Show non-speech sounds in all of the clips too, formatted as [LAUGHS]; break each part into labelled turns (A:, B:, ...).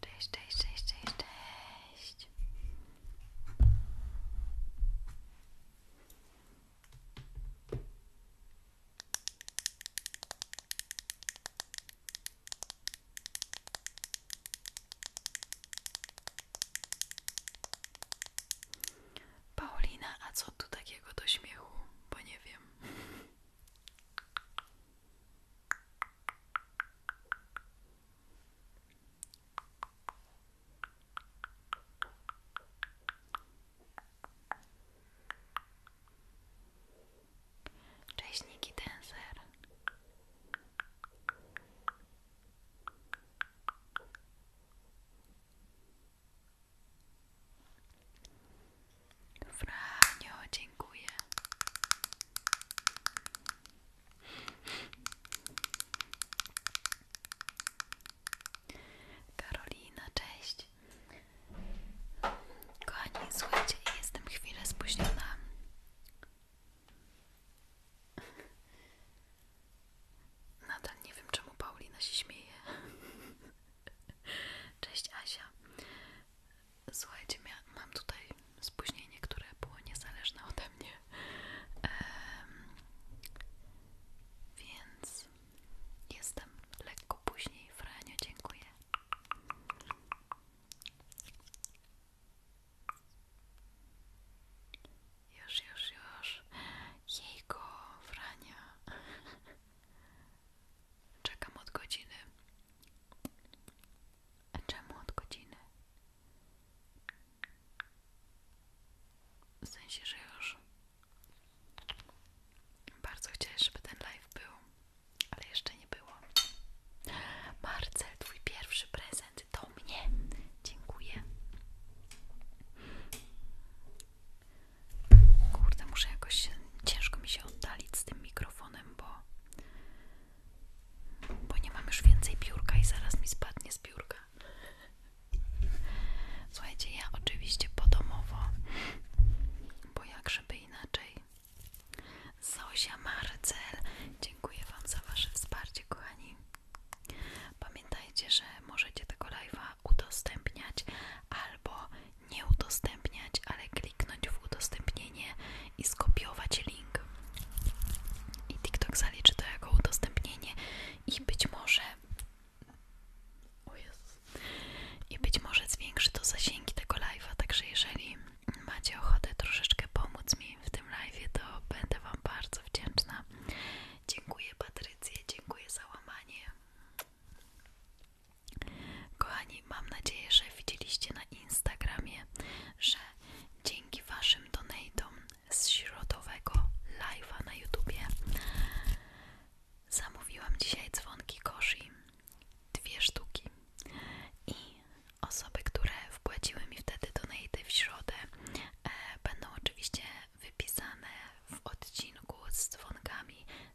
A: Cześć, cześć, cześć, cześć, a co tu takiego do śmiechu? nie wiem. Cześć Niki Denser Franio, dziękuję. Karolina, cześć. Kochani, słuchajcie, jestem chwilę spóźniona. Nadal nie wiem, czemu Paulina się śmieje. [LAUGHS] Cześć Asia. Słuchajcie, mam tutaj spóźnienie, które było niezależne od mnie. więc jestem lekko później. Franio, dziękuję. Już, już, już. Jego Frania. Czekam od godziny. A czemu od godziny? W sensie, że już bardzo chciałeś, żeby ten live był, ale jeszcze nie było. Marcel, twój pierwszy prezent do mnie. Dziękuję. Kurde, muszę jakoś ciężko mi się oddalić z tym mikrofonem, bo bo nie mam już więcej biurka i zaraz mi spadnie z biurka. Słuchajcie, ja oczywiście podomowo, bo jak żeby inaczej. Zosia Marcel, dziękuję Wam za Wasze wsparcie, kochani. Pamiętajcie, że możecie tego live'a udostępniać albo nie udostępniać, ale kliknąć w udostępnienie i skopiować link. I TikTok zaliczy to jako udostępnienie i być może i być może zwiększy to zasięgi tego live'a, także jeżeli macie ochotę troszeczkę pomóc mi w tym live'ie, to będę Wam bardzo wdzięczna. Dziękuję Patrycję, dziękuję za łamanie. Kochani, mam nadzieję, że widzieliście na Instagramie, że dzięki Waszym donatom z środowego live'a na YouTube zamówiłam dzisiaj dzwonki koshi, dwie sztuki i osoby, które wpłaciły mi wtedy donaty w środę e, będą oczywiście wypisane w odcinku z dzwonkami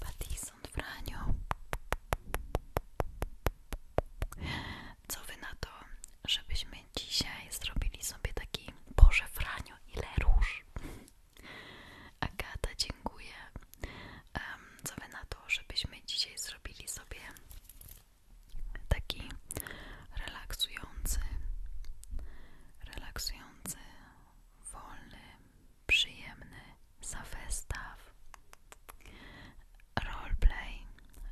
A: Pattison Franio. Co wy na to, żebyśmy dzisiaj zrobili sobie taki Boże Franio, ile róż? Agata, dziękuję. co wy na to, żebyśmy dzisiaj zrobili sobie taki relaksujący relaksujący wolny, przyjemny zafestaw, roleplay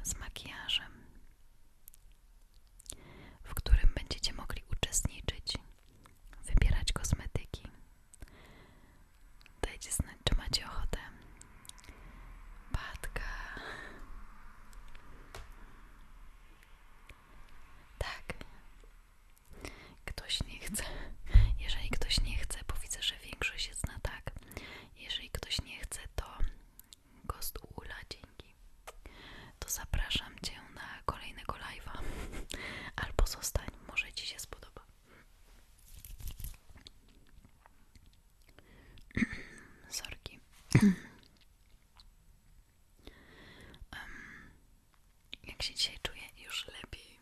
A: z makijażem, w którym będziecie mogli uczestniczyć, wybierać kosmetyki. Dajcie znać, czy macie ochotę. Patka. Tak. Ktoś nie chce. Jeżeli ktoś nie chce, bo widzę, że większość jest na tak. Jeżeli ktoś nie chce, to gost ula, dzięki. To zapraszam Cię na kolejnego live'a. Albo zostań, może Ci się spodoba. [CLEARS THROAT] Sorki. [CLEARS THROAT] jak się dzisiaj czuję? Już lepiej.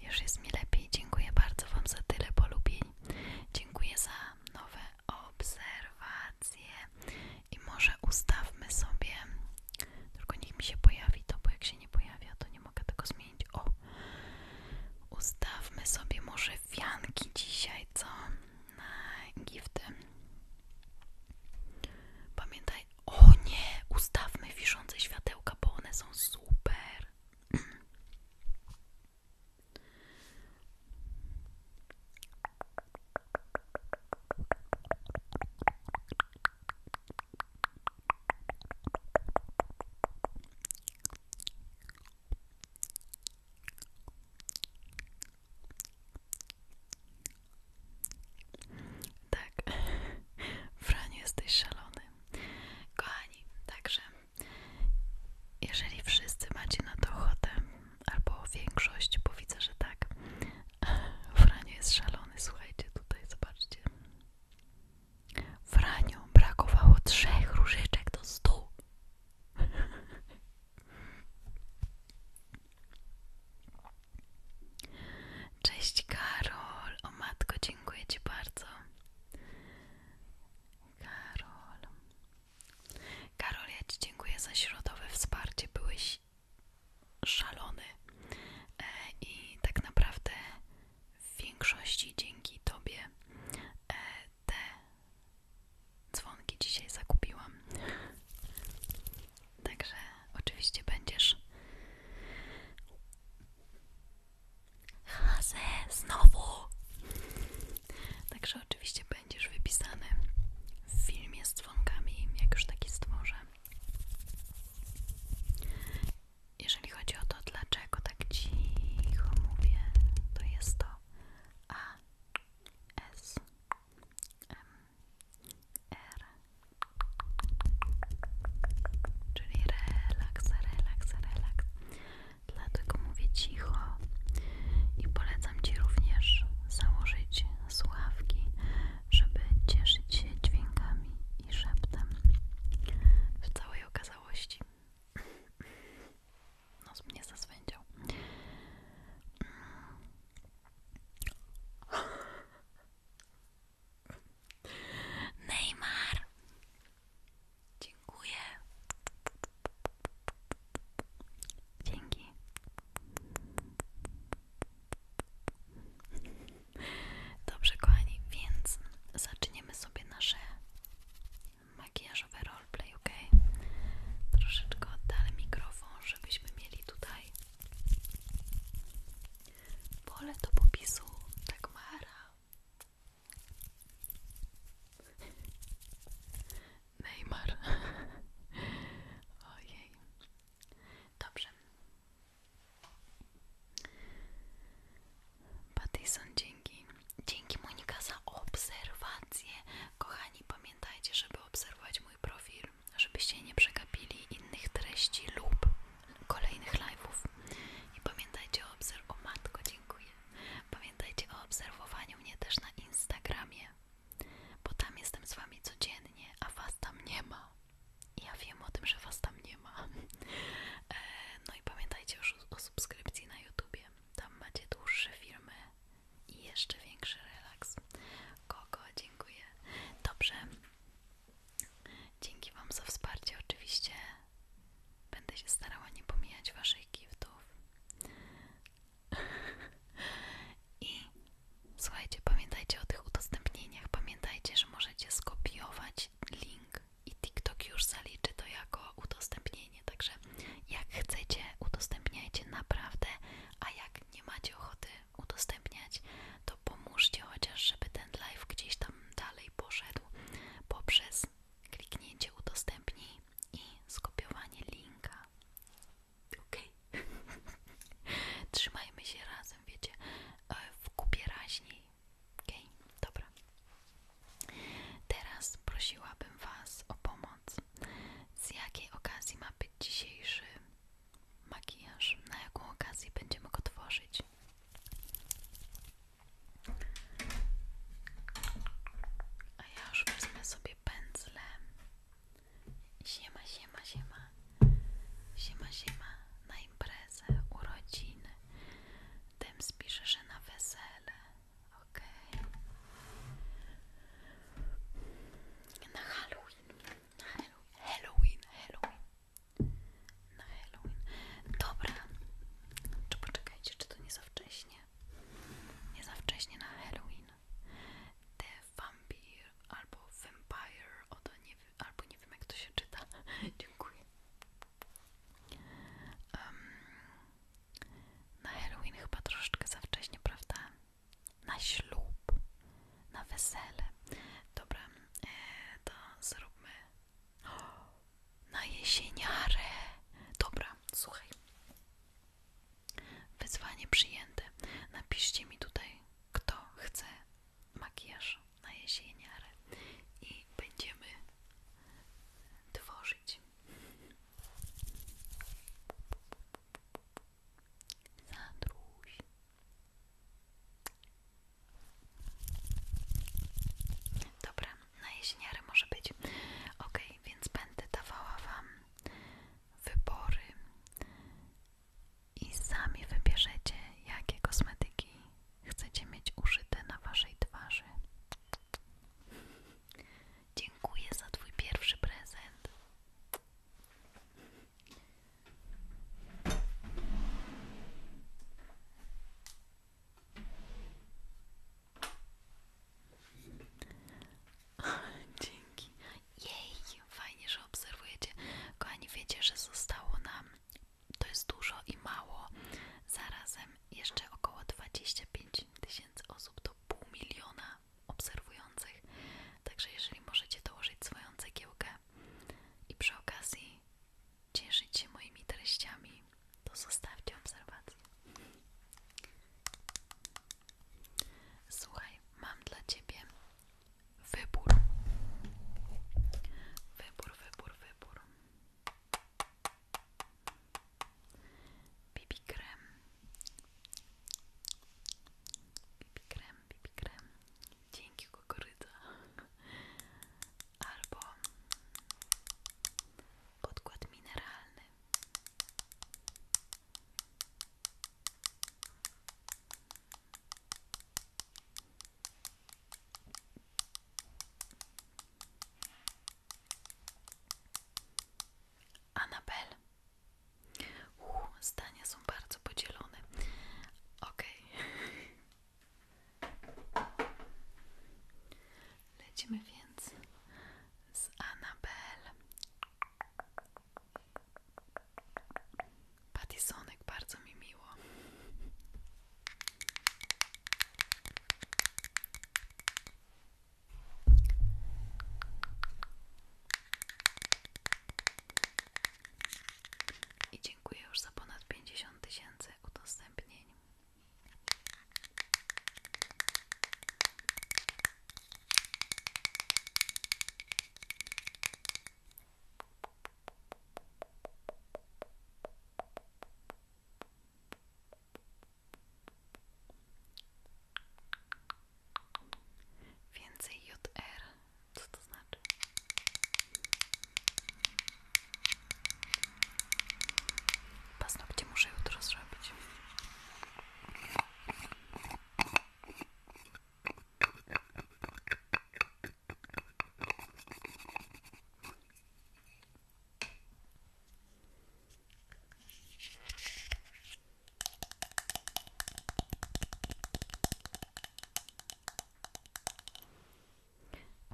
A: Już jest mi lepiej. Dziękuję bardzo Wam za tyle polubień. Dziękuję za nowe obserwacje. I może ustawmy sobie, tylko niech mi się pojawi to, bo jak się nie pojawia, to nie mogę tego zmienić. ustawmy sobie może wianki dzisiaj, co? na gifty. Pamiętaj, o nie, ustawmy wiszące światełka, bo one są super. Tak, [LAUGHS] Fran, jesteś szalony. Kochani, także jeżeli wszyscy macie na to ochotę, albo większość, bo widzę, że tak, [LAUGHS] Franiu jest szalony, słuchajcie, tutaj zobaczcie. Franiu brakowało trzech różyczek do stu. Cześć Karol, o matko, dziękuję Ci bardzo. Karol. Karol, ja Ci dziękuję za środowe wsparcie. Byłeś szalony. E, I tak naprawdę w większości dzięki Tobie e, te Dzwonki dzisiaj zakupiłam. Także oczywiście będziesz. Hase, znowu! Także oczywiście będziesz wypisany w filmie z dzwonkami, jak już taki stworzę. Jeżeli chodzi o to, dlaczego tak cicho mówię, to jest to A R Czyli relaks, relaks, relaks Dlatego mówię cicho i polecam Ci również założyć słuchawki, żeby cieszyć się dźwiękami i szeptem w całej okazałości. Nos mnie zaswędział. Neymar. Dziękuję. Dzięki. Dobrze, kochani, więc zaczniemy sobie nasze makijażowe roleplay, ok? Troszeczkę oddalę mikrofon, żebyśmy mieli tutaj pole do popisu Dagmara. Neymar. [LAUGHS] Ojej. Dobrze. Patyson, dzięki. Dzięki Monika za obserwacje. Kochani, pamiętajcie, żeby obserwować mój profil, żebyście nie przegapili innych treści lub kolejnych live'ów. I pamiętajcie o obserwowaniu. O matko, dziękuję. Pamiętajcie o obserwowaniu mnie też na Instagramie, bo tam jestem z wami codziennie, a was tam nie ma. Ja wiem o tym, że was tam nie ma. [LAUGHS] E, no i pamiętajcie już o subskrypcji na YouTubie. Tam macie dłuższe filmy i jeszcze większy relaks. Kogo dziękuję. Dobrze. Dzięki Wam za wsparcie. Oczywiście będę się starała nie pomijać Waszych giftów. I słuchajcie, pamiętajcie o tych udostępnieniach. Pamiętajcie, że możecie skopiować link i TikTok już zaliczy to jako udostępnienie. Także jak chcecie, udostępniajcie naprawdę a jak nie macie ochoty udostępniać, to pomóżcie chociaż, żeby ten live gdzieś tam dalej poszedł poprzez kliknięcie udostępnij i skopiowanie linka. Ok? [LAUGHS] Trzymajmy się razem, wiecie, e, w kupie raźniej. Okej, dobra. Teraz prosiłabym Was o pomoc. Z jakiej okazji ma być dzisiejszy makijaż, na jaką okazję będziemy go tworzyć. A ja już wezmę sobie pędzle. Siema, siema, siema. Siema, siema. Na imprezę, urodziny. Dem spiszę że na wesele. Okej. Na Halloween. Na Halloween. Halloween. Na Halloween. Dobra. Czy poczekajcie, czy to nie za wcześnie? Nie za wcześnie na Halloween. The Vampire albo Vampire, oto nie, albo nie wiem jak to się czyta. [LAUGHS] Dziękuję. na Halloween chyba troszeczkę za wcześnie, prawda? na ślub, na wesele. Dobra, e, to zróbmy na jesieniarę. Dobra, słuchaj. Wyzwanie przyjęte. Napiszcie mi tutaj, kto chce makijaż na jesieniarę i będziemy tworzyć. Sandruś. Dobra, na jesieniarę może być. Ok, więc będę dawała Wam wybory i sami wybierzecie, jakie kosmetyki chcecie mieć użyte na Waszej twarzy. Dziękuję za Twój pierwszy prezent. [LAUGHS] Dzięki. Jej, fajnie, że obserwujecie. Kochani, wiecie, że zostało nam, to jest dużo i mało, zarazem jeszcze około dwadzieścia pięć tysięcy osób, to pół miliona obserwujących. Także jeżeli możecie dołożyć swoją cegiełkę i przy okazji cieszyć się moimi treściami, to zostawcie obserwację. Słuchaj, mam dla ciebie wybór. Wybór, wybór, wybór. bibi krem BB krem, BB krem dzięki kukurydza albo podkład mineralny Anabel. Uuu, zdania są bardzo podzielone. Ok, Lecimy więc z Anabel. Patisonek, bardzo mi miło. I dziękuję już za ponad pięćdziesiąt tysięcy udostępnień. Więcej JR. Co to znaczy? Paznokcie muszę jutro zrobić.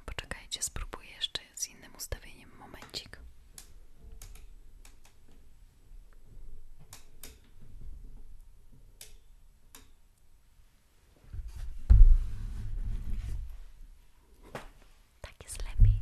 A: Poczekajcie, spróbuję jeszcze z innym ustawieniem momencik. Tak jest lepiej.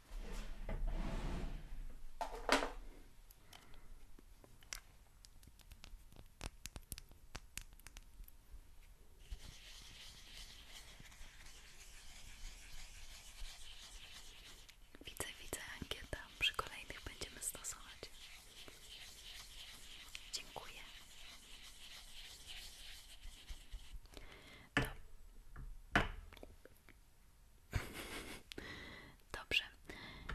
A: Widzę, widzę ankietę. Przy kolejnych będziemy stosować. Dziękuję. Do... [LAUGHS] Dobrze.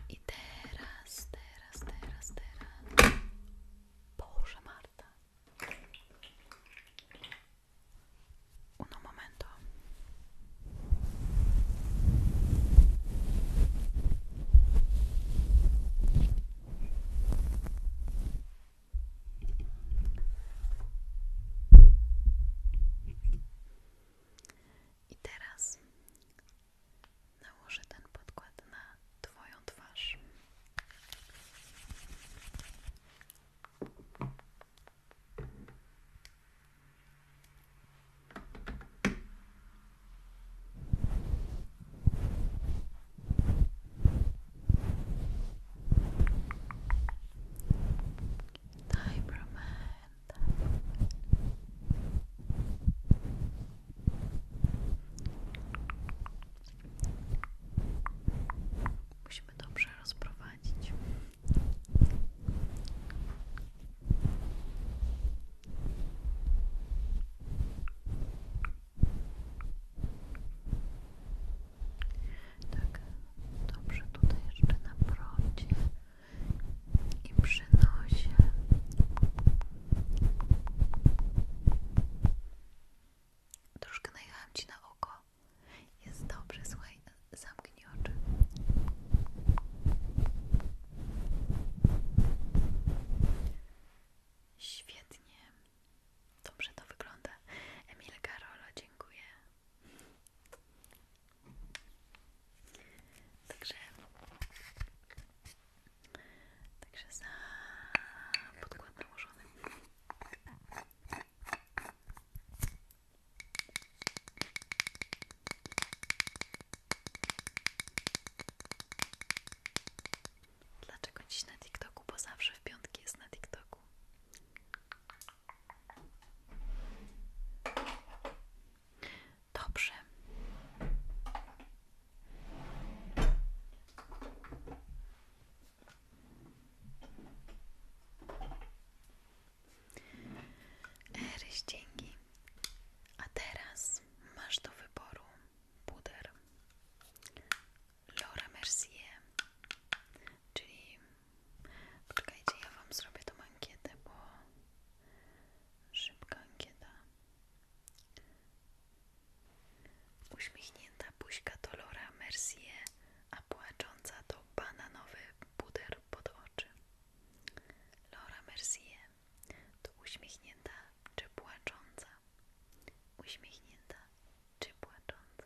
A: I teraz, teraz, teraz, teraz. Boże, Marta. Uno momento. I teraz nałożę ten podkład na Twoją twarz. Cyberman, Musimy dobrze rozprowadzić. Tak, dobrze tutaj jeszcze na procie i przy nosie troszkę najechałam na oko jest dobrze, słuchaj, zamknij oczy Świetnie, dobrze to wygląda. Emil Karola, dziękuję Także, także za podkład nałożony. Dlaczego dziś na TikToku? Bo zawsze w piątki jest na TikToku. Dobrze. Eryś, dzięki. A teraz masz do wyboru puder Laura Mercier, czyli Poczekajcie, ja wam zrobię tą ankietę, bo szybka ankieta. Uśmiechnięta buźka Laura Mercier, a płacząca to bananowy puder pod oczy. Laura Mercier to uśmiechnięta czy płacząca? Uśmiechnięta czy płacząca?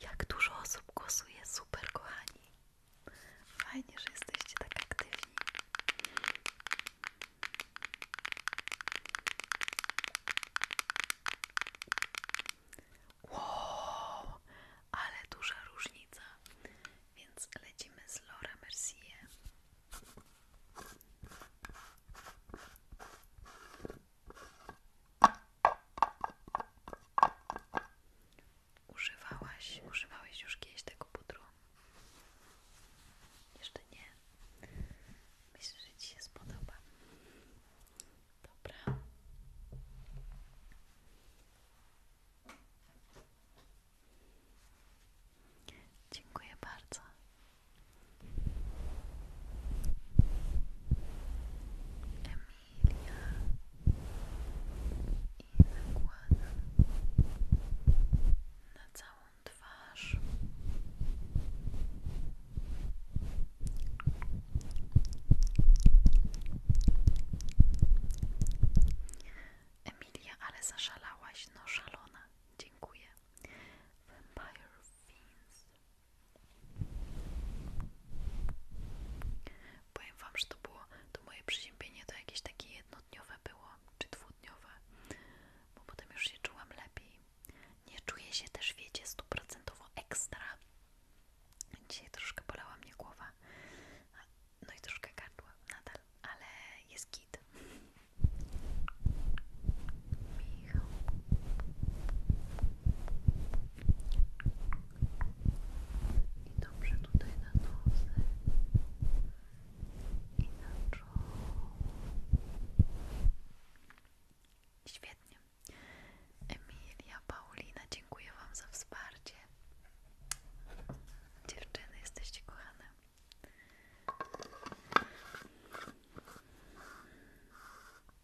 A: Jak dużo osób głosuje, super kochani. Fajnie, że jesteście tak aktywni. Wow, ale duża różnica. Więc lecimy z Laura Mercier. Używałaś, używałeś już kiedyś tego pudru? Jeszcze nie. Myślę, że Ci się spodoba. Dobra. Dziękuję bardzo. Emilia i nakładam na całą twarz. Emilia, ale zaszalałaś, no szalona. Dziękuję. Vampire Fins. Powiem wam, że to było, to moje przeziębienie to jakieś takie jednodniowe było, czy dwudniowe, bo potem już się czułam lepiej. Nie czuję się też, wiecie, stuprocentowo ekstra. Dzisiaj troszkę bolała mnie głowa, no i troszkę gardła nadal, ale jest git. I dobrze tutaj na nosy i Świetnie. Emilia, Paulina, dziękuję Wam za wsparcie. Dziewczyny, jesteście kochane.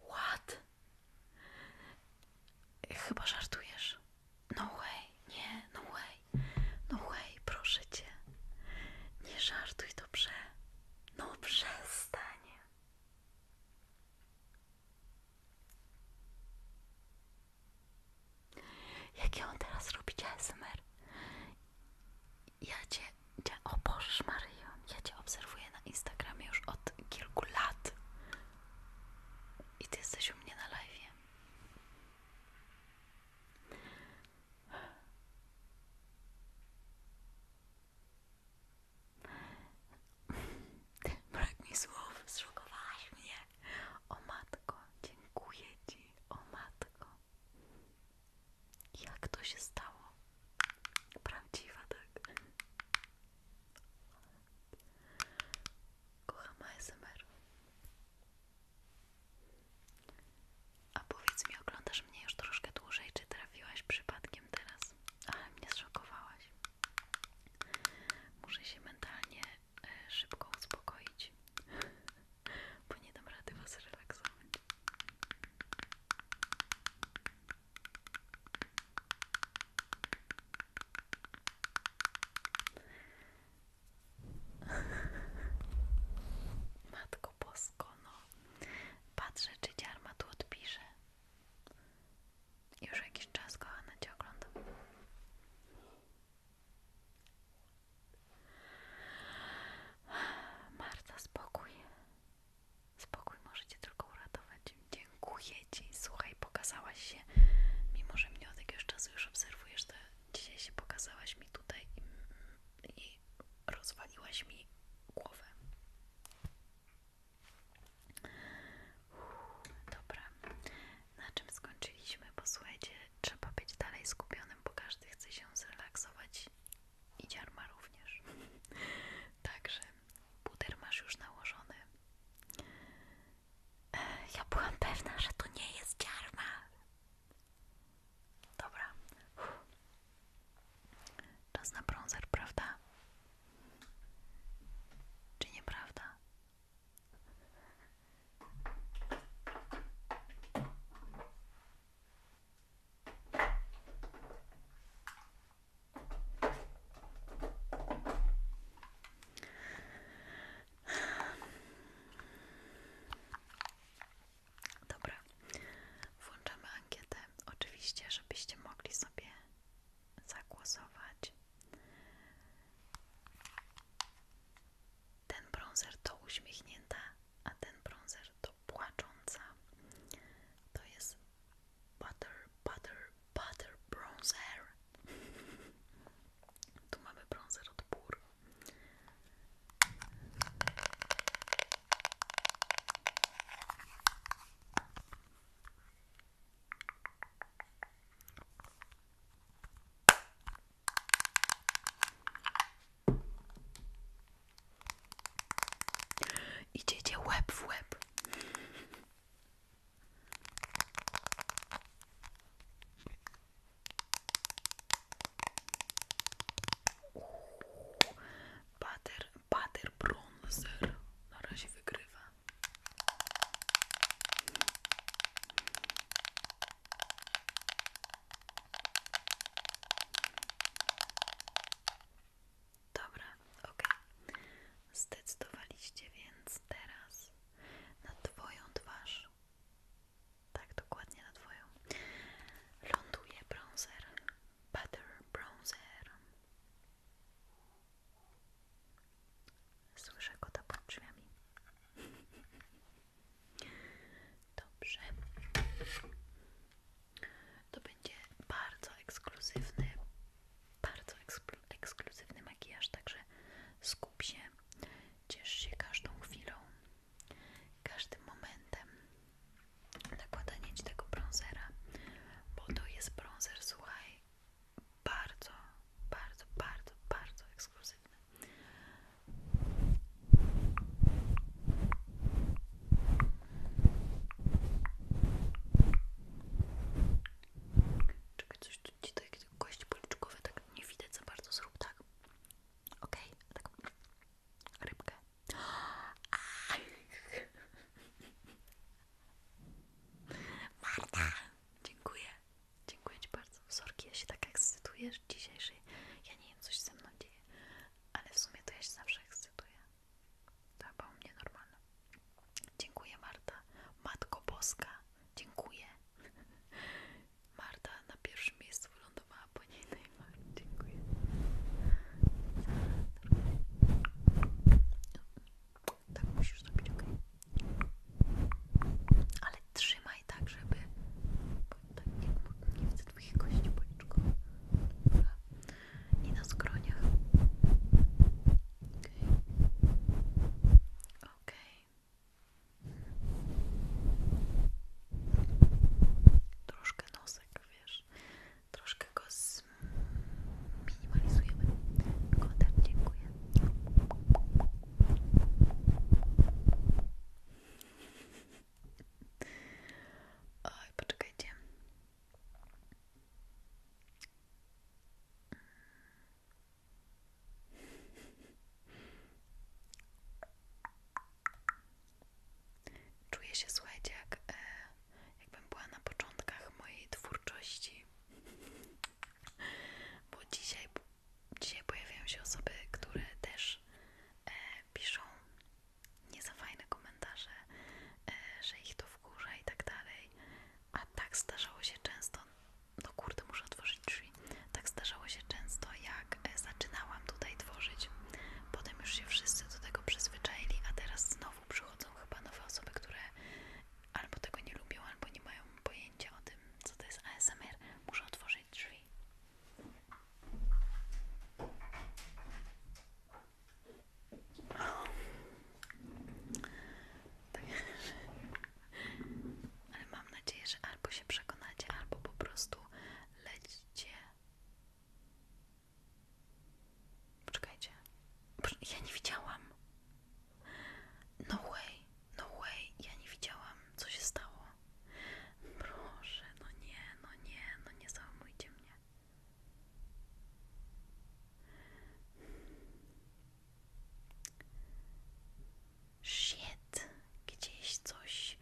A: What? Chyba żartujesz. No way, nie, no way. No way, proszę cię. Nie żartuj dobrze. No przestań. Jakie on teraz robi ASMR? Ja cię, cię o Bożesz ja cię obserwuję na Instagramie już od kilku lat i ty jesteś u mnie na live'ie. Brak mi słów, zszokowałaś mnie. O matko, dziękuję ci, o matko. Jak to się stało? Prawdziwa, tak? Kocham ASMR. A powiedz mi, oglądasz mnie już troszkę dłużej, czy trafiłaś przypadkiem teraz? Ale mnie zszokowałaś. Muszę się mentalnie e, szybko uspokoić bo nie dam rady was relaksować. Matko Bosko, no. Patrzę, czy dziarma tu odpisze. Już jakiś czas, kochana, cię oglądam. Marta, spokój. Spokój możecie tylko uratować. Dziękuję Ci. Słuchaj, pokazałaś się, mimo że mnie od jakiegoś czasu już obserwujesz, to dzisiaj się pokazałaś mi tutaj i, rozwaliłaś mi głowę. dobra, na czym skończyliśmy? Posłuchajcie, trzeba być dalej skupionym, bo każdy chce się zrelaksować i dziarma również. [LAUGHS] Także puder masz już nałożony. ja byłam pewna, że to nie jest dziarma. Dobra. Czas na brązer, prawda? Czy nie prawda? Dobra, włączamy ankietę. Oczywiście, żebyście mogli sobie zagłosować. Ten brązer to uśmiechnięta a ten bronzer to płacząca. To jest butter, butter, butter bronzer. [LAUGHS] tu mamy bronzer od Pur. Idziecie łeb w łeb. Butter, butter bronzer na razie wygrywa Dobra, ok. Zdecydowaliście więc teraz na Twoją twarz. Tak, dokładnie na Twoją. Ląduje bronzer. Butter bronzer. Słyszę kota pod drzwiami. [LAUGHS] Dobrze. To będzie bardzo ekskluzywny, bardzo eksklu ekskluzywny makijaż, także skup się, ciesz się każdą chwilą, każdym momentem nakładanie Ci tego brązera, bo to jest brązer, słuchaj, bardzo, bardzo, bardzo, bardzo ekskluzywny. Czekaj, coś tu ci takie tak nie widać za bardzo, zrób tak. ok okay, tak. Rybkę. [LAUGHS] Marta! Dziękuję. Dziękuję Ci bardzo. Sorki, ja się tak ekscytuję dzisiejszej. Ja nie coś ze mną dzieje, ale w sumie to ja się zawsze ekscytuję. tak bo u mnie normalne. Dziękuję Marta. Matko Boska, dziękuję. [LAUGHS] Marta na pierwszym miejscu wylądowała po niej Dziękuję. Tak musisz zrobić, ok? Ale trzymaj trzymaj tak, żeby tak jak nie widzę twoich kości policzką i na skroniach okej okay. okay. troszkę nosek, wiesz troszkę go zminimalizujemy dziękuję Oj, poczekajcie. Czuję się, słuchajcie, jak, e, jakbym była na początkach mojej twórczości. Bo dzisiaj Dzisiaj pojawiają się osoby, które też e, piszą nie komentarze, e, że ich to wkurza i tak dalej. A tak zdarzało się często, no kurde, muszę otworzyć drzwi. Tak zdarzało się często, jak e, zaczynałam tutaj tworzyć. Potem już się wszyscy do tego przyzwyczaili, a teraz znowu przychodzą chyba nowe osoby, które albo tego nie lubią, albo nie mają pojęcia o tym, co to jest ASMR. Muszę otworzyć drzwi. Ale mam nadzieję, że albo się przekonacie, albo po prostu lećcie. Poczekajcie. Ja nie widziałam. No way, no way, ja nie widziałam, co się stało. Proszę, no nie, no nie, no nie załamujcie mnie. Shit, gdzieś coś,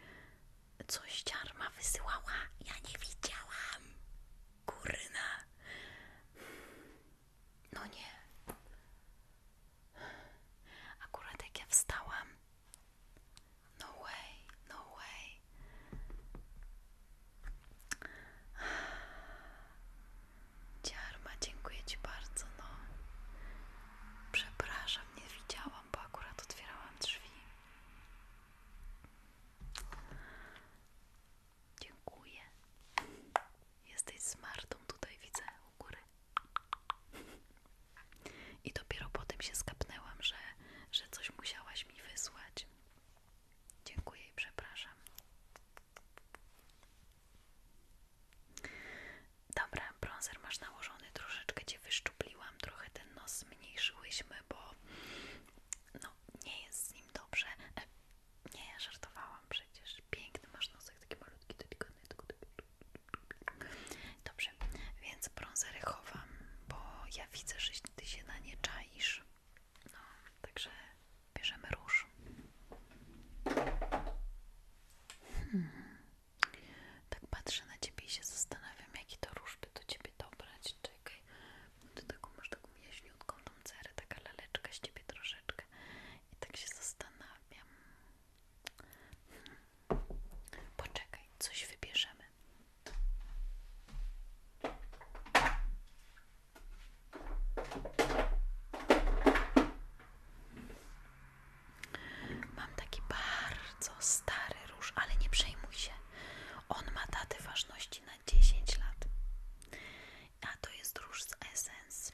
A: coś ciarma wysyłała, ja nie widziałam. Kurna. No nie. Akurat jak ja wstałam. No way, no way. Ciarma, dziękuję Ci bardzo, no. Przepraszam, nie widziałam, bo akurat otwierałam drzwi. Dziękuję. Jesteś smartą tutaj, widzę u góry. I dopiero potem się skapnęłam, że, że coś musiałaś mi wysłać. Dziękuję i przepraszam. Dobra, bronzer masz nałożony, troszeczkę Cię wyszczupliłam, trochę ten nos zmniejszyłyśmy, bo no nie jest z nim dobrze. E, nie, żartowałam przecież. Piękny masz nosek, taki malutki, delikatny. Tylko, Dobrze, więc brązery chowam, bo ja widzę, że ty się na nie czaisz. No, także bierzemy róż. Hmm. Tak patrzę na ciebie i się zastanawiam, jakie to różby, do ciebie dobrać. Czekaj, ty taką masz taką jaśniutką tą taka laleczka z ciebie troszeczkę. I tak się zastanawiam. Poczekaj, coś wybierzemy. Mam taki bardzo stary róż, ale nie przejmuj się. On ma datę ważności na dziesięć lat. A to jest róż z Essence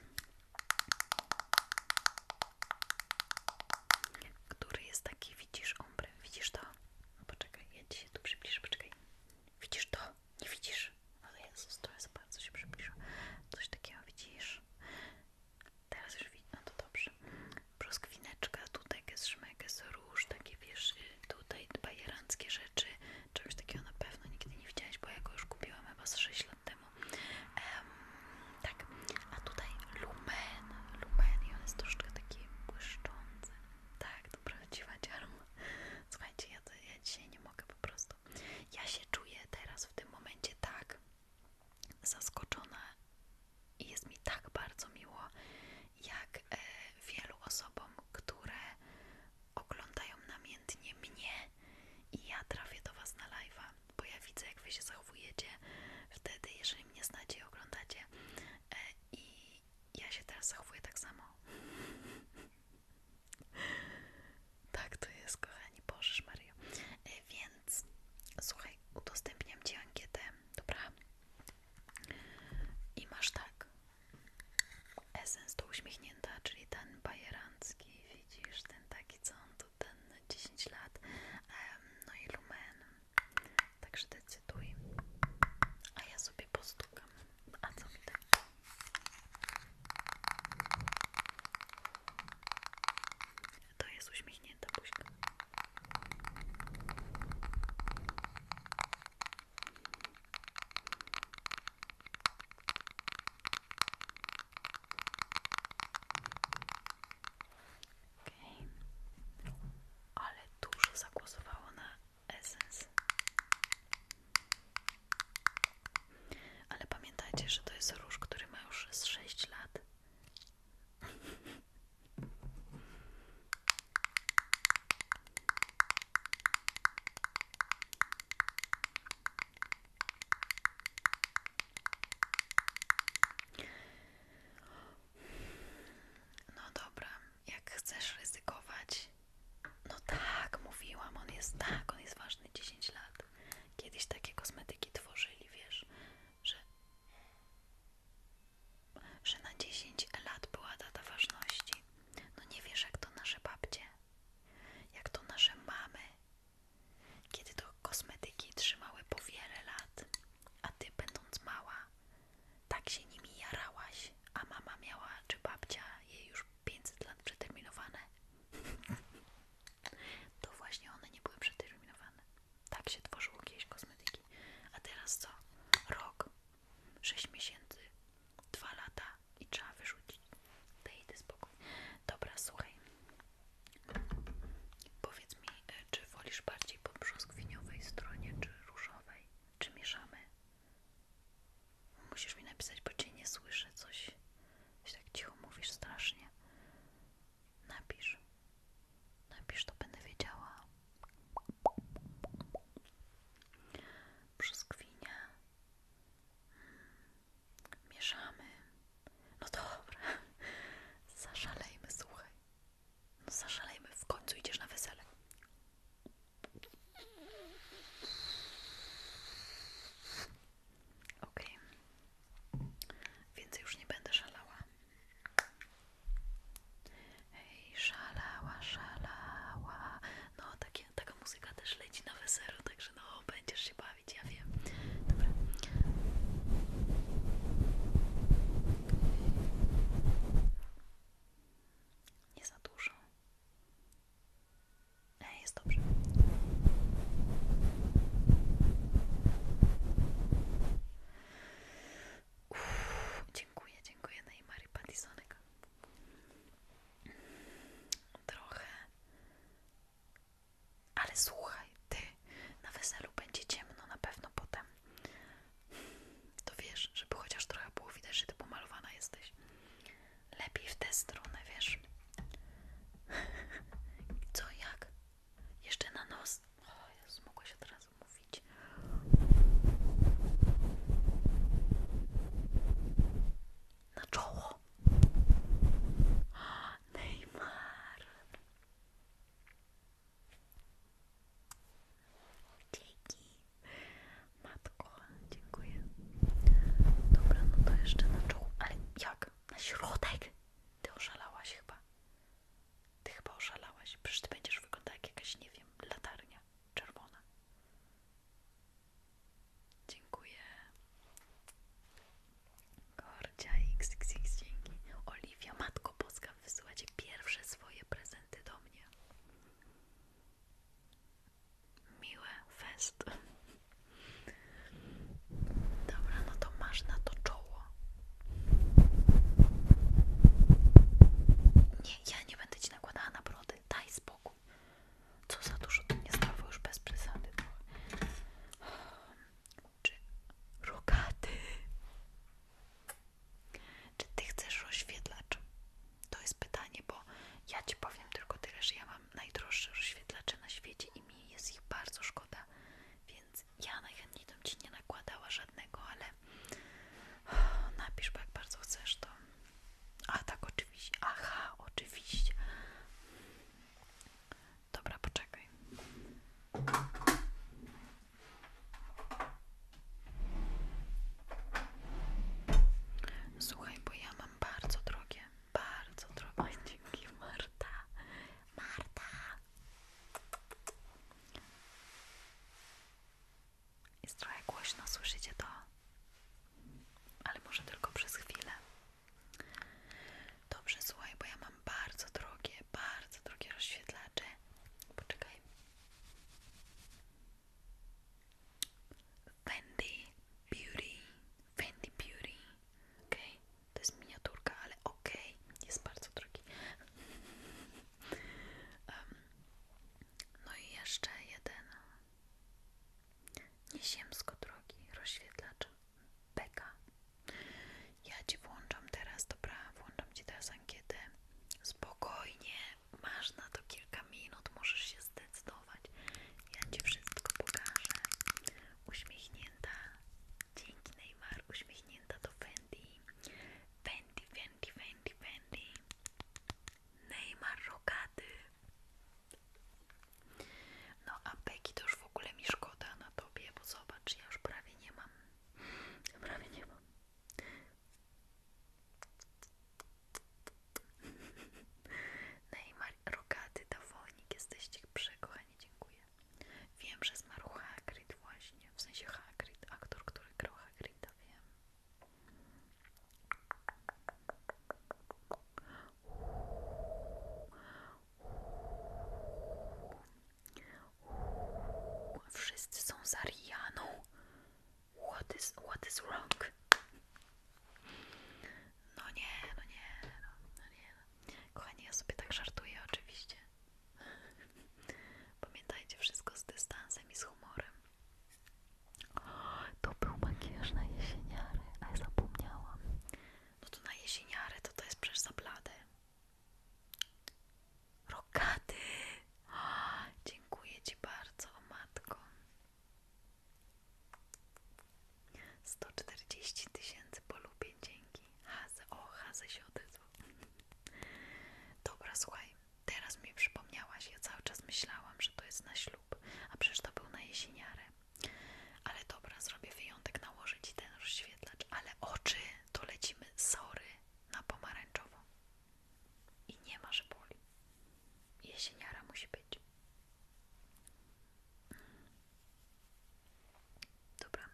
A: który jest taki, widzisz ombre, widzisz to? No poczekaj, ja ci się tu przybliżę, poczekaj. Widzisz to? Nie widzisz? No Jezus, to jest bardzo się przybliża. Coś takiego widzisz? Teraz już widzę, no to dobrze. Brzoskwineczka, tutaj szmek, jest róż, takie wiesz, y, tutaj bajeranckie rzeczy. Czegoś takiego na pewno nigdy nie widziałaś, bo ja go już kupiłam chyba z 6 lat tak, a tutaj lumen, lumen i on jest troszkę taki błyszczący. Tak, to prawdziwa dziarma. Słuchajcie, ja, to, ja dzisiaj nie mogę po prostu. Ja się czuję teraz w tym momencie tak zaskoczona i jest mi tak bardzo miło, jak e, wielu osobom, które oglądają namiętnie mnie i ja trafię do Was na live'a bo ja widzę jak wy się zachowujecie wtedy, jeżeli mnie znacie i oglądacie e, i ja się teraz zachowuję tak samo. [LAUGHS] tak to jest, kochani, Bożysz Mario. E, więc słuchaj, udostępniam Ci ankietę, dobra? I masz tak. Essence to uśmiechnięta, czyli ten bajerancki, widzisz, ten taki, co to ten 10 lat, no i Lumen, także decyduj, a ja sobie postukam, a co mi da? To jest uśmiechnięta buźka. Okay. Ale dużo zagłosowało na Essence. Ale pamiętajcie, że to jest róż, który ma już z sześć lat. No dobra, jak chcesz ryzykować. No tak, mówiłam, on jest tak, on jest ważny 10 lat. Kiedyś takie kosmetyki tworzyli, wiesz, że, że na 10 lat była data ważności. No nie wiesz, jak to nasze babcie, jak to nasze mamy kiedy to kosmetyki trzymały po wiele lat, a ty będąc mała, tak się nimi jarałaś, a mama miała czy babcia je już 500 lat przeterminowane. [LAUGHS] to właśnie one nie były przeterminowane. Tak się tworzyły jakieś kosmetyki. A teraz co? Rok, 6 miesięcy, 2 lata i trzeba wyrzucić. Daj spokój. Dobra, słuchaj. Powiedz mi, e, czy wolisz bardziej po brzoskwiniowej stronie, czy różowej? Czy mieszamy? Musisz mi napisać, bo cię nie słyszę coś. Coś tak cicho mówisz strasznie. Napisz. Napisz, to będę wiedziała. Brzoskwinia. Hmm. Mieszamy. No dobra, zaszalejmy, słuchaj. No zaszalejmy, w końcu idziesz na wesele. ok okay. więc już nie będę szalała. Hej, szalała, szalała. No, takie, taka muzyka też leci na wesele także no, będziesz się bawić bawić, ja Nie za dużo. E, jest dobrze. Uff, dziękuję, dziękuję na Imari Patisonek. Trochę ale słuchaj, ty na weselu będzie ciemno na pewno potem. To wiesz, żeby chociaż trochę było widać, że ty pomalowana jesteś. Lepiej w tę stronę, wiesz. Co, jak? Jeszcze na nos. O Jezu, mogła się teraz mówić. Na czoło. [GASPS] Neymar. Dzięki, matko, dziękuję. Dobra, no to jeszcze na czoło. Ale jak? Na środek? Ty oszalałaś chyba. Ty chyba oszalałaś. Przecież ty będziesz wyglądała jak jakaś, nie wiem, latarnia czerwona. Dziękuję. Gorcia XXX, dzięki. Oliwia, Matko Boska, wysyła wysyłacie pierwsze swoje prezenty do mnie. Miłe fest. Dobra, no to masz na to czoło. Nie, ja nie będę ci nakładała na brody. Daj spokój. Co za dużo tu nie stało już bez przesady czy rogaty? Czy ty chcesz rozświetlacz? To jest pytanie, bo ja ci powiem tylko tyle, że ja mam najdroższe rozświetlacze na świecie i mi jest ich bardzo szkoda, więc ja najchętniej tam ci nie nakładała żadnego, ale napisz, bo jak bardzo chcesz to. A tak, oczywiście. Aha, oczywiście. Dobra, poczekaj. Słuchaj, bo ja mam bardzo drogie, bardzo drogie. Dzięki, Marta. Marta. Jest trochę głośno, słyszycie to? Ale może tylko przez chwilę. Dobrze, słuchaj, bo ja mam bardzo drogie, bardzo drogie rozświetlacze. Poczekaj. Fendi Beauty. Fendi Beauty. ok. to jest miniaturka, ale ok, jest bardzo drogi. [LAUGHS] no i jeszcze jeden. Nieziemsko drogi rozświetlacze. Beka. Ja ci włączam teraz, dobra? Włączam ci teraz ankietę. Spokojnie, masz na to kilka minut, możesz się zdecydować. Ja ci wszystko pokażę. Uśmiechnięta. Dzięki Neymar, uśmiechnięta do Fendi. Fendi, Fendi, Fendi, Fendi. Neymar rogaty. No a Peggy to już w ogóle mi szkoda na tobie, bo zobacz, ja już prawie nie mam. Prawie nie mam. Neymar, rogaty, dawonik, jesteście przekochani, dziękuję. Wiem, że zmarł Hagrid właśnie, w sensie Hagrid, aktor, który grał Hagrida, wiem. Wszyscy są za Rianą. What is, what is wrong? No nie, no nie, no, no nie. No. Kochani, ja sobie tak żartuję oczywiście. [LAUGHS] Pamiętajcie wszystko z dystansem i z humorem. O, [GASPS] to był makijaż na jesieniary, a ja zapomniałam. No to na jesieniarę to to jest przecież za blade. Rokaty! [GASPS] dziękuję Ci bardzo, matko. 140 tysięcy polubień, dzięki. Haze, o, Haze się odezwał. [LAUGHS] Dobra, słuchaj, teraz mi przypomniałaś, ja cały czas myślałam, że to jest na ślub, a przecież to był na jesieniarę. Ale dobra, zrobię wyjątek, nałożyć ten rozświetlacz, ale oczy to lecimy sory na pomarańczowo. I nie ma, że boli. Jesieniara musi być. Dobra,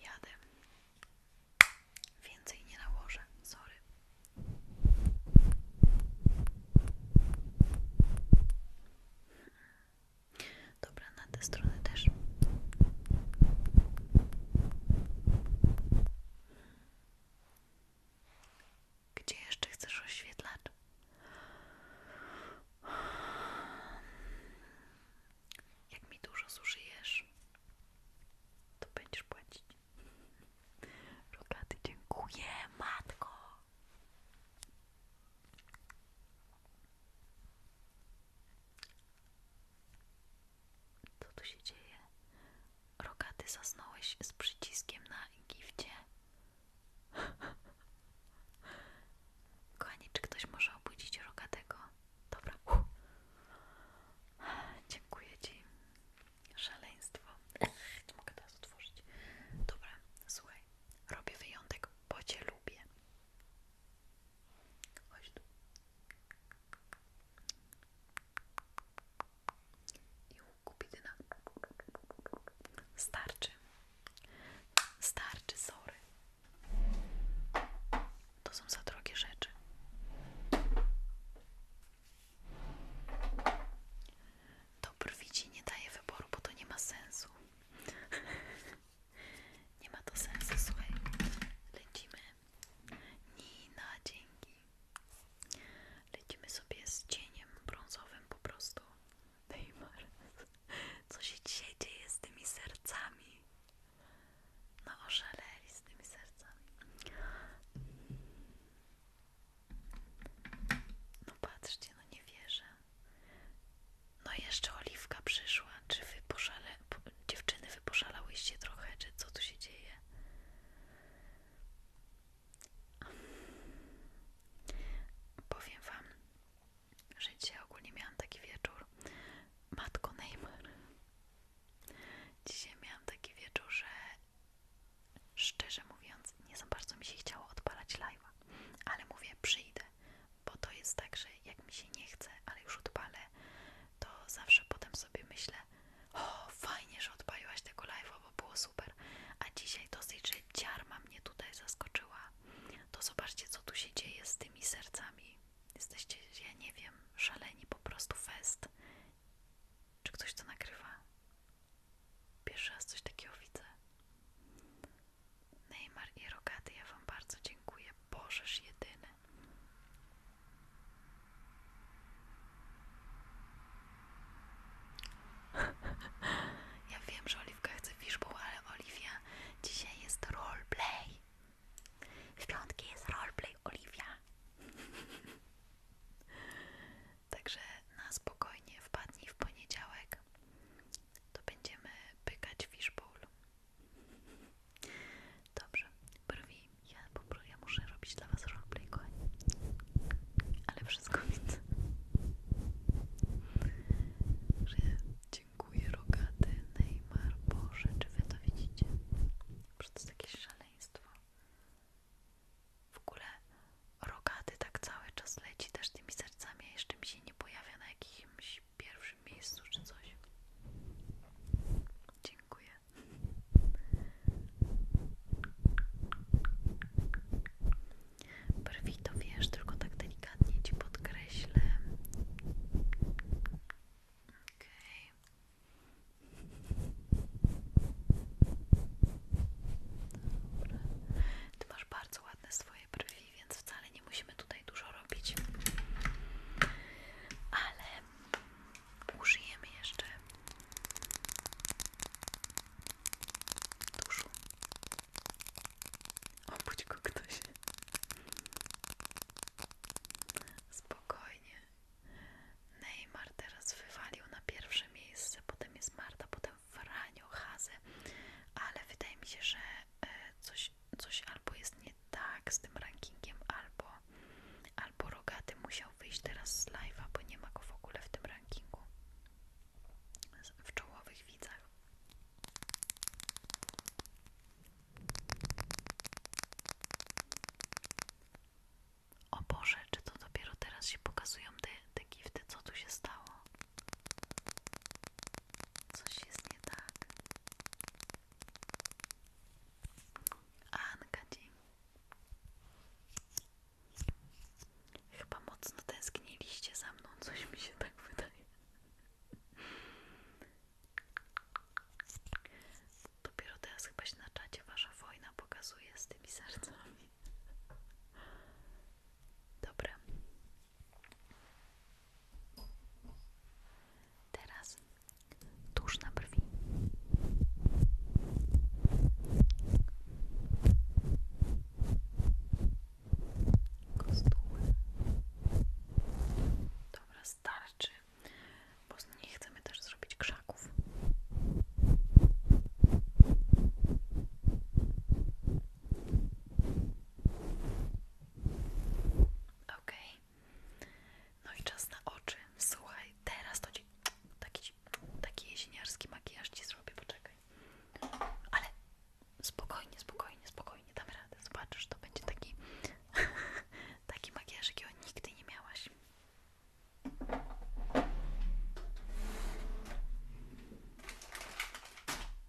A: jadę. Więcej nie nałożę, sorry. Dobra, na tę stronę też. Gdzie jeszcze chcesz oświetlać? Jak mi dużo zużyjesz, to będziesz płacić. Rogaty, dziękuję, matko. Co tu się dzieje? Rogaty zasnąłeś z przyciskiem na gifcie. [LAUGHS] Kochani, czy ktoś może obudzić rogatego? Dobra. Dziękuję Ci. Szaleństwo. Nie mogę teraz otworzyć. Dobra, słuchaj. Robię wyjątek, bo Cię lubię. Chodź tu. I kupidyna. Starczy. Starczy, sorry. To są za drogie rzeczy. To brwi nie daje wyboru, bo to nie ma sensu. [LAUGHS] Nie ma to sensu, słuchaj. Lecimy. Nina, dzięki. Lecimy sobie z cieniem brązowym po prostu. Neymar. Co się dzisiaj dzieje z tymi sercami? No oszaleli z tymi sercami. No patrzcie, no nie wierzę. No jeszcze Oliwka przyszła. Czy wy dziewczyny, wy trochę? Czy co tu się dzieje? Powiem wam, że dzisiaj ogólnie miałam taki wieczór. Matko Neymar. Dzisiaj miałam taki wieczór, że szczerze mówiąc, nie za bardzo mi się chciało odpalać live'a, ale mówię, przyjdę, bo to jest tak, że jak mi się nie chce, ale już odpalę, to zawsze potem sobie myślę, o fajnie, że odpaliłaś tego live, bo było super, a dzisiaj dosyć, że ciarma mnie tutaj zaskoczyła. To zobaczcie, co tu się dzieje z tymi sercami. Jesteście, ja nie wiem, szaleni po prostu fest. Czy ktoś to nagrywa? Pierwszy raz coś takiego widzę. Neymar i Rogaty, ja Wam bardzo dziękuję. Bożeż jedyny. [LAUGHS] ja wiem, że Oliwka chce fishbowl, ale Oliwia, dzisiaj jest roleplay. W piątki jest roleplay, Oliwia. [LAUGHS] Także na spokojnie wpadnij w poniedziałek to będziemy pykać fishbowl. Dobrze, brwi. Ja, ja muszę robić dla Was roleplay, kochani. Ale wszystko widzę. Że dziękuję, rogaty, Neymar. Boże, czy Wy to widzicie? Przecież to jest jakieś szaleństwo. W ogóle rogaty tak cały czas leci też tymi sercami, a jeszcze mi się nie pojawia na jakichś jakimś pierwszym miejscu czy coś. Dziękuję. Brwi to wiesz, tylko tak delikatnie ci podkreślę. Okej. Okay. Ty masz bardzo ładne swoje brwi więc wcale nie musimy tutaj dużo robić. Ale użyjemy jeszcze tuszu. Obudź go ktoś. Spokojnie. Neymar teraz wywalił na pierwsze miejsce, potem jest Marta, potem Franio Hase, ale wydaje mi się, że e, coś, coś albo jest nie tak z tym rankingiem, albo, albo Rogaty musiał wyjść teraz z live'a, bo nie ma go w ogóle w tym rankingu, w czołowych widzach. O Boże, czy to dopiero teraz się pokazują te, te gifty? Co tu się stało? Coś jest nie tak. Anka dzień. Chyba mocno tęskniliście za mną, coś mi się tak wydaje. Dopiero teraz chyba się na czacie wasza wojna pokazuje z tymi sercami. Dobra, Teraz tuż na brwi. Kostuły. Dobra, starczy, bo nie chcemy też zrobić krzaków. OK. No i czas na oczy. Słuchaj, teraz to ci taki, taki jesieniarski makijaż ci zrobię, poczekaj. Ale spokojnie, spokojnie, spokojnie, damy radę. Zobaczysz, to będzie taki [LAUGHS] taki makijaż, jakiego nigdy nie miałaś.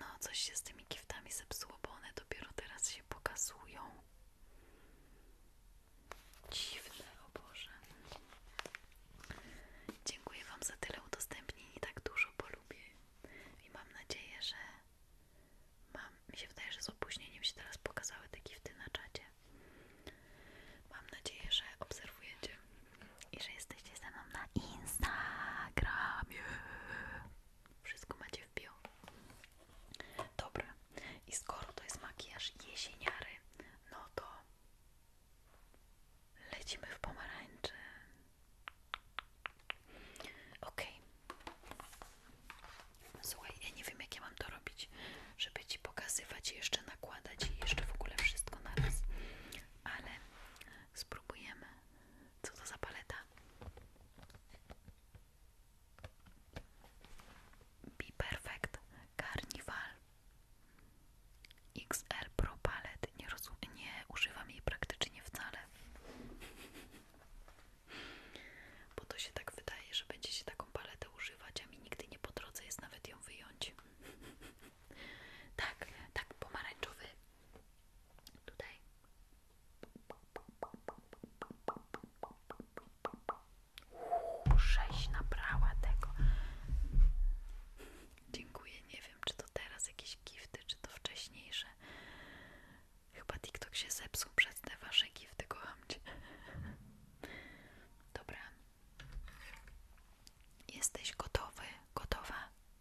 A: No, coś się z tymi giftami zepsuło, one dopiero teraz się pokazują. Dziwne, o Boże. Dziękuję Wam za tyle udostępnień i tak dużo, bo lubię. I mam nadzieję, że mam. Mi się wydaje, że z opóźnieniem się teraz pokazały te gifty na czacie. Mam nadzieję, że obserwujecie i że jesteście ze mną na Instagramie. Wszystko ma macie wypił. Dobra, i skoro to jest makijaż jesieniary, no to lecimy w pomarańczy. Ok. Słuchaj, ja nie wiem, jak ja mam to robić, żeby ci pokazywać, jeszcze nakładać i jeszcze w ogóle wszystko na raz, ale spróbujemy. Co to za paleta? Be Perfect Carnival XL Pro Palette. Nie, nie używam jej praktycznie wcale. Bo to się tak wydaje, że będzie się taką paletę używać, a mi nigdy nie po drodze jest nawet ją wyjąć. tak, tak, pomarańczowy. Tutaj. Uuu, sześć nabrała tego. Dziękuję. Nie wiem, czy to teraz jakieś gifty, czy to wcześniejsze. Chyba TikTok się zepsuł przez te wasze gifty, kocham cię. Dobra. Jesteś gotowy, gotowa?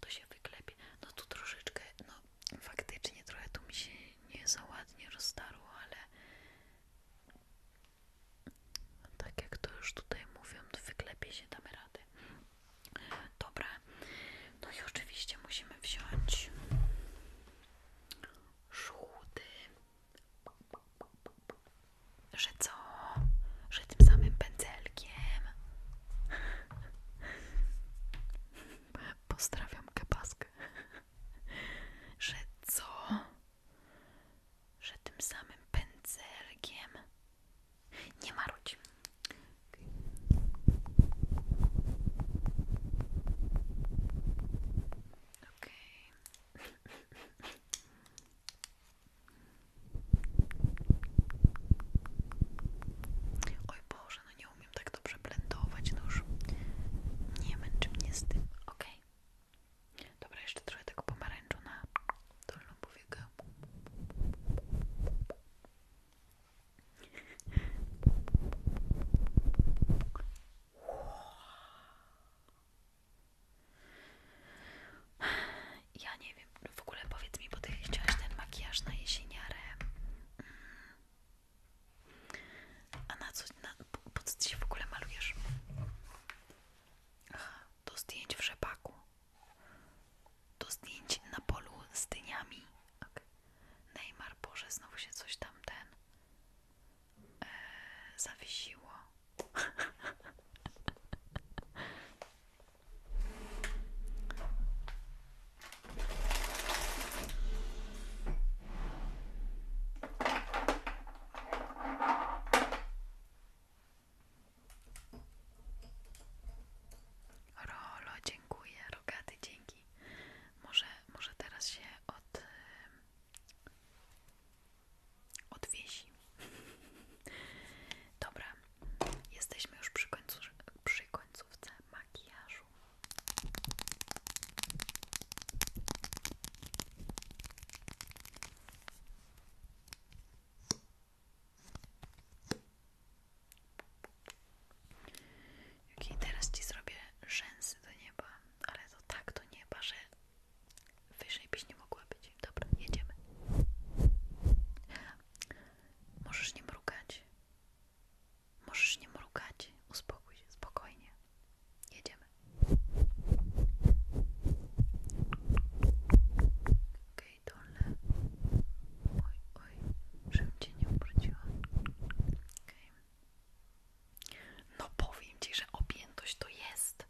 A: To się wyklepie. No tu troszeczkę, no faktycznie trochę tu mi się nie za ładnie rozdarło, ale tak jak to już tutaj mówią, to wyklepie się, damy radę. Dobra, no i oczywiście musimy wziąć żółty że co? Że tym samym pędzelkiem. Pozdrawiam kebaskę. Że co? Że tym samym pędzelkiem. Nie marudź. Oj Boże, no nie umiem tak dobrze blendować, no już nie męczy mnie z tym, ok? Dobra, jeszcze trochę tego pomarańczu na dolną powiekę. Ja nie wiem, w ogóle powiedz mi, bo ty chciałaś ten makijaż na jesieniarę. Mm. A na co, na, co ty się w ogóle malujesz? Aha, do zdjęć w rzepaku. Do zdjęć na polu z dyniami. Okay. Neymar, Boże, znowu się coś tam ten e, zawiesiło. Rolo, dziękuję, rogaty, dzięki. Może, może teraz się od Odwiesi. [LAUGHS] Dobra, jesteśmy już przy, końcu, przy końcówce makijażu. Ok, teraz ci zrobię rzęsy do nieba, ale to tak do nieba, że Wyżej byś nie mogła być. Dobra, jedziemy. Możesz nie mrugać. Możesz nie mrugać. Uspokój się, spokojnie. Jedziemy. Okej, okay, dolne. Oj, oj, żebym cię nie obróciła. Okej. No powiem Ci, że objętość to jest.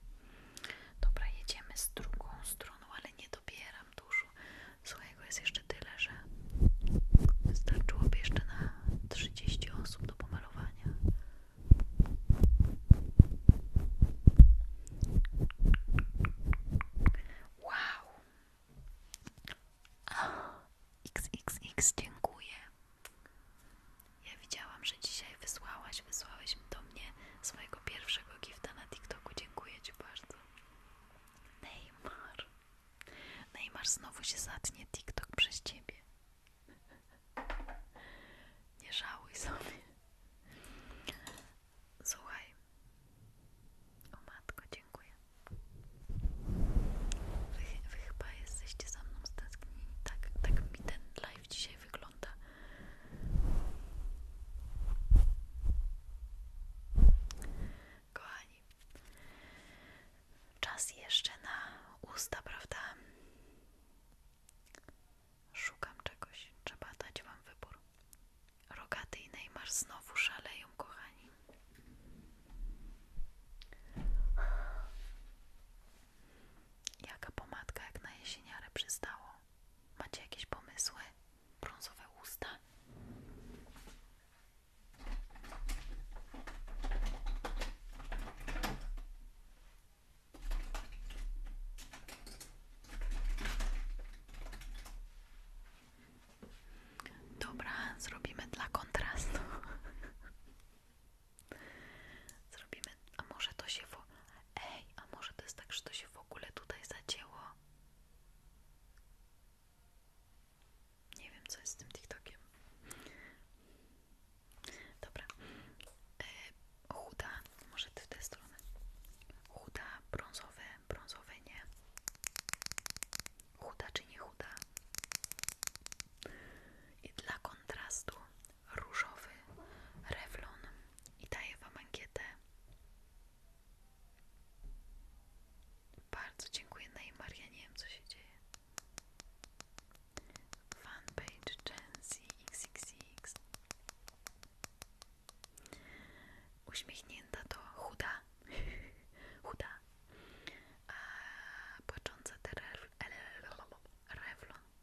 A: Dobra, jedziemy z drugą stroną, ale nie dobieram dużo. Słuchajgo jest jeszcze tyle, że wystarczyłoby jeszcze na 30 osób do pomalowania. Wow! XXX, dziękuję. Ja widziałam, że dzisiaj wysłałaś, wysłałeś do mnie swojego pierwszego gifta na TikToku. Dziękuję Ci bardzo. Neymar. Neymar znowu się zatnie TikTok przez Ciebie. Nie żałuj sobie. Słuchaj. O matko, dziękuję. Wy, wy chyba jesteście za mną stęsknieni. Tak, tak mi ten live dzisiaj wygląda. Kochani, czas jeszcze na usta, prawda? Szukam czegoś, trzeba dać Wam wybór. Rogaty i Neymar znowu szaleją, kochani. Jaka pomadka jak na jesieniarę przystało? Macie jakieś pomysły? Brązowe usta? Dobra, zrobimy dla kontrastu. [LAUGHS] Zrobimy, a może to się w... Ej, a może to jest tak, że to się w ogóle tutaj zacięło? Nie wiem, co jest z tym TikTokiem. Dobra. E, chuda, może ty w tę stronę. Chuda, brązowe, brązowe nie. Chuda czy nie chuda? I dla kontrastu różowy rewlon i daję Wam ankietę. Bardzo dziękuję Neymar, ja nie wiem co się dzieje. Fanpage Jensi XXX Uśmiechnięta to chuda, [LAUGHS] chuda, a płacząca te rewlon.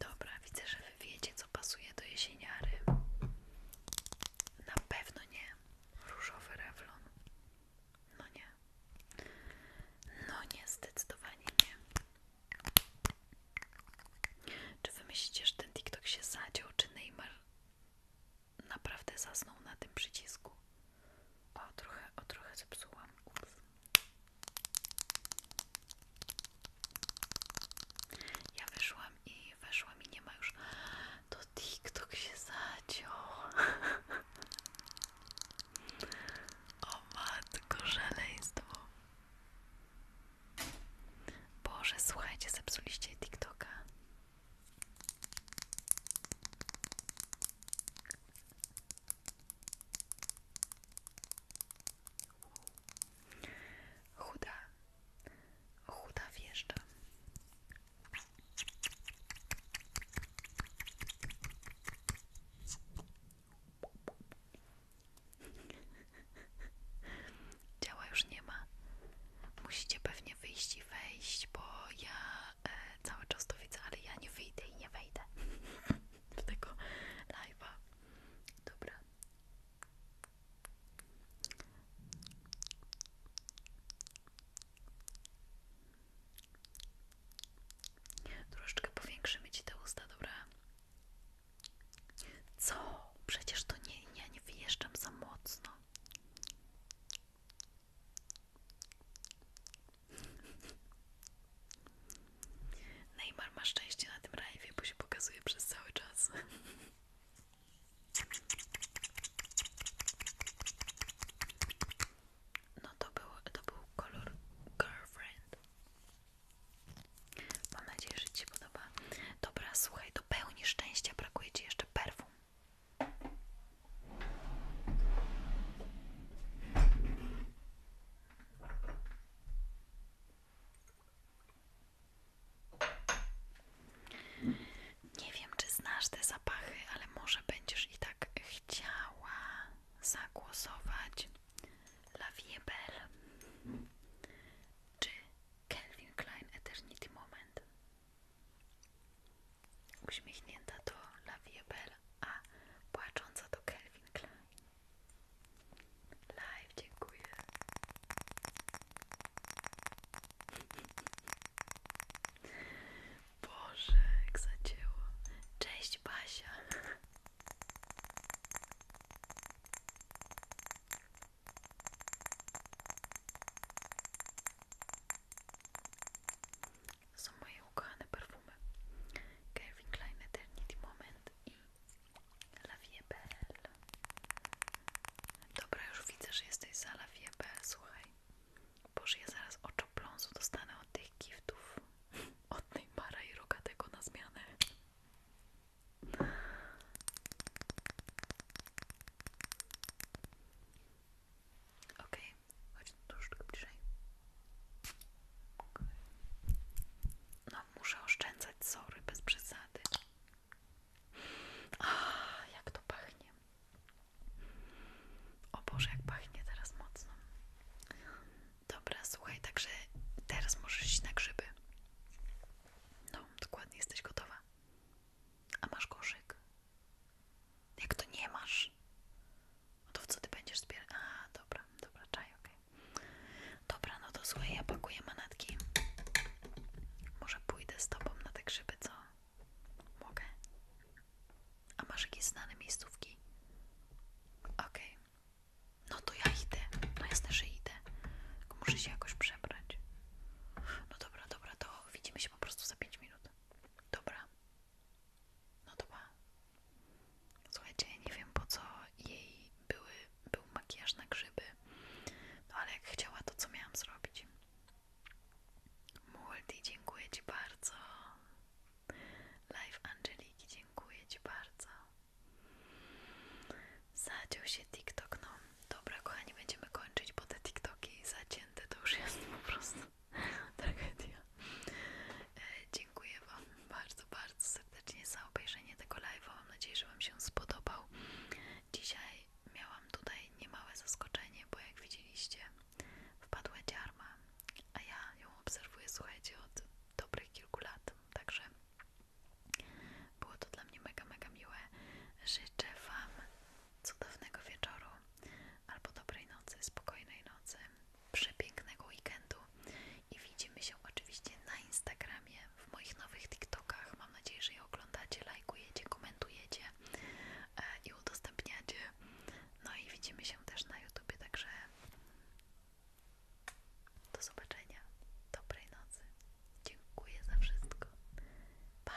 A: Dobra, widzę, że wy wiecie, co pasuje do jesieniary. Na pewno nie. Różowy rewlon. No nie. No nie, zdecydowanie nie. Czy wy myślicie, że ten TikTok się zadział, czy Neymar naprawdę zasnął na tym przycisku. O, trochę, o, trochę zepsułam. Ups. Ja wyszłam i weszłam i nie ma już. To TikTok się zaciął. [LAUGHS] O matko, szaleństwo. Boże, słuchajcie, zepsuliście TikToka. Chuda, chuda wjeżdża. Ciała już nie ma. Musicie pewnie wyjść i wejść, bo ja E, cały czas to widzę, ale ja nie wyjdę i nie wejdę [LAUGHS] w tego live'a. Dobra. Troszeczkę powiększymy ci te usta, dobra? Co? Przecież to nie, ja nie wyjeżdżam za mocno. Neymar ma szczęście na tym live, bo się pokazuje przez cały czas. No to był, to był kolor Girlfriend. Mam nadzieję, że Ci podoba. Dobra, słuchaj, do pełni szczęścia brakuje Ci jeszcze perfum. Nie wiem, czy znasz te zapachy, ale może będziesz i tak chciała zagłosować La Vie Belle czy Calvin Klein Eternity Moment. Uśmiechnięta to La Viebel, a płacząca to Kelvin Klein. Live, dziękuję. [LAUGHS] Boże, jak zacięło. Cześć, Basia. To są moje ukochane perfumy Kevin Klein Eternity Moment i La Vie Belle Dobra, już widzę, że jesteś za La Vie Belle, słuchaj boż ja zaraz oczopląsu dostanę od tych giftów [LAUGHS] od tej para i rogatego na zmianę Okej, okay. chodź troszeczkę bliżej. Okay. No, muszę oszczędzać, sorry, bez przesady. A, jak to pachnie. O Boże, jak pachnie teraz mocno. Dobra, słuchaj, także teraz możesz iść na grzyby. No, dokładnie, jesteś gotowa. A masz koszyk? Jak to nie masz, no to w co ty będziesz zbierać? A, dobra, dobra, czaj, okej. Dobra, no to słuchaj, ja pakuję manatki. Może pójdę z tobą na te grzyby, co? Mogę? A masz jakieś znane miejscówki? ok No to ja idę. No jasne, że idę. Tylko muszę się jakoś przebrać. No dobra, dobra, to widzimy się po prostu za 5 minut. Dobra. No to pa. Słuchajcie, ja nie wiem po co jej były, był makijaż na grzyby. No ale jak chciała, to co miałam zrobić? Multi, dziękuję Ci bardzo. Live Angeliki, dziękuję Ci bardzo. Zadział się TikTok, no Dobra, kochani, będziemy kończyć, bo te TikToki zacięte to już jest po prostu [LAUGHS] tragedia. E, dziękuję Wam bardzo, bardzo serdecznie za obejrzenie tego live'a. Mam nadzieję, że Wam się spodobał. Dzisiaj miałam tutaj niemałe zaskoczenie, bo jak widzieliście, wpadła dziarma, a ja ją obserwuję, słuchajcie, od dobrych kilku lat. Także było to dla mnie mega, mega miłe. Życzę Wam cudownego wieczoru, albo dobrej nocy, spokojnej nocy, przepięknego weekendu i widzimy się oczywiście na Instagramie, w moich nowych TikTokach. Mam nadzieję, że je oglądacie, lajkujecie, komentujecie e, i udostępniacie. No i widzimy się też na YouTubie, także do zobaczenia, dobrej nocy. Dziękuję za wszystko. Bye.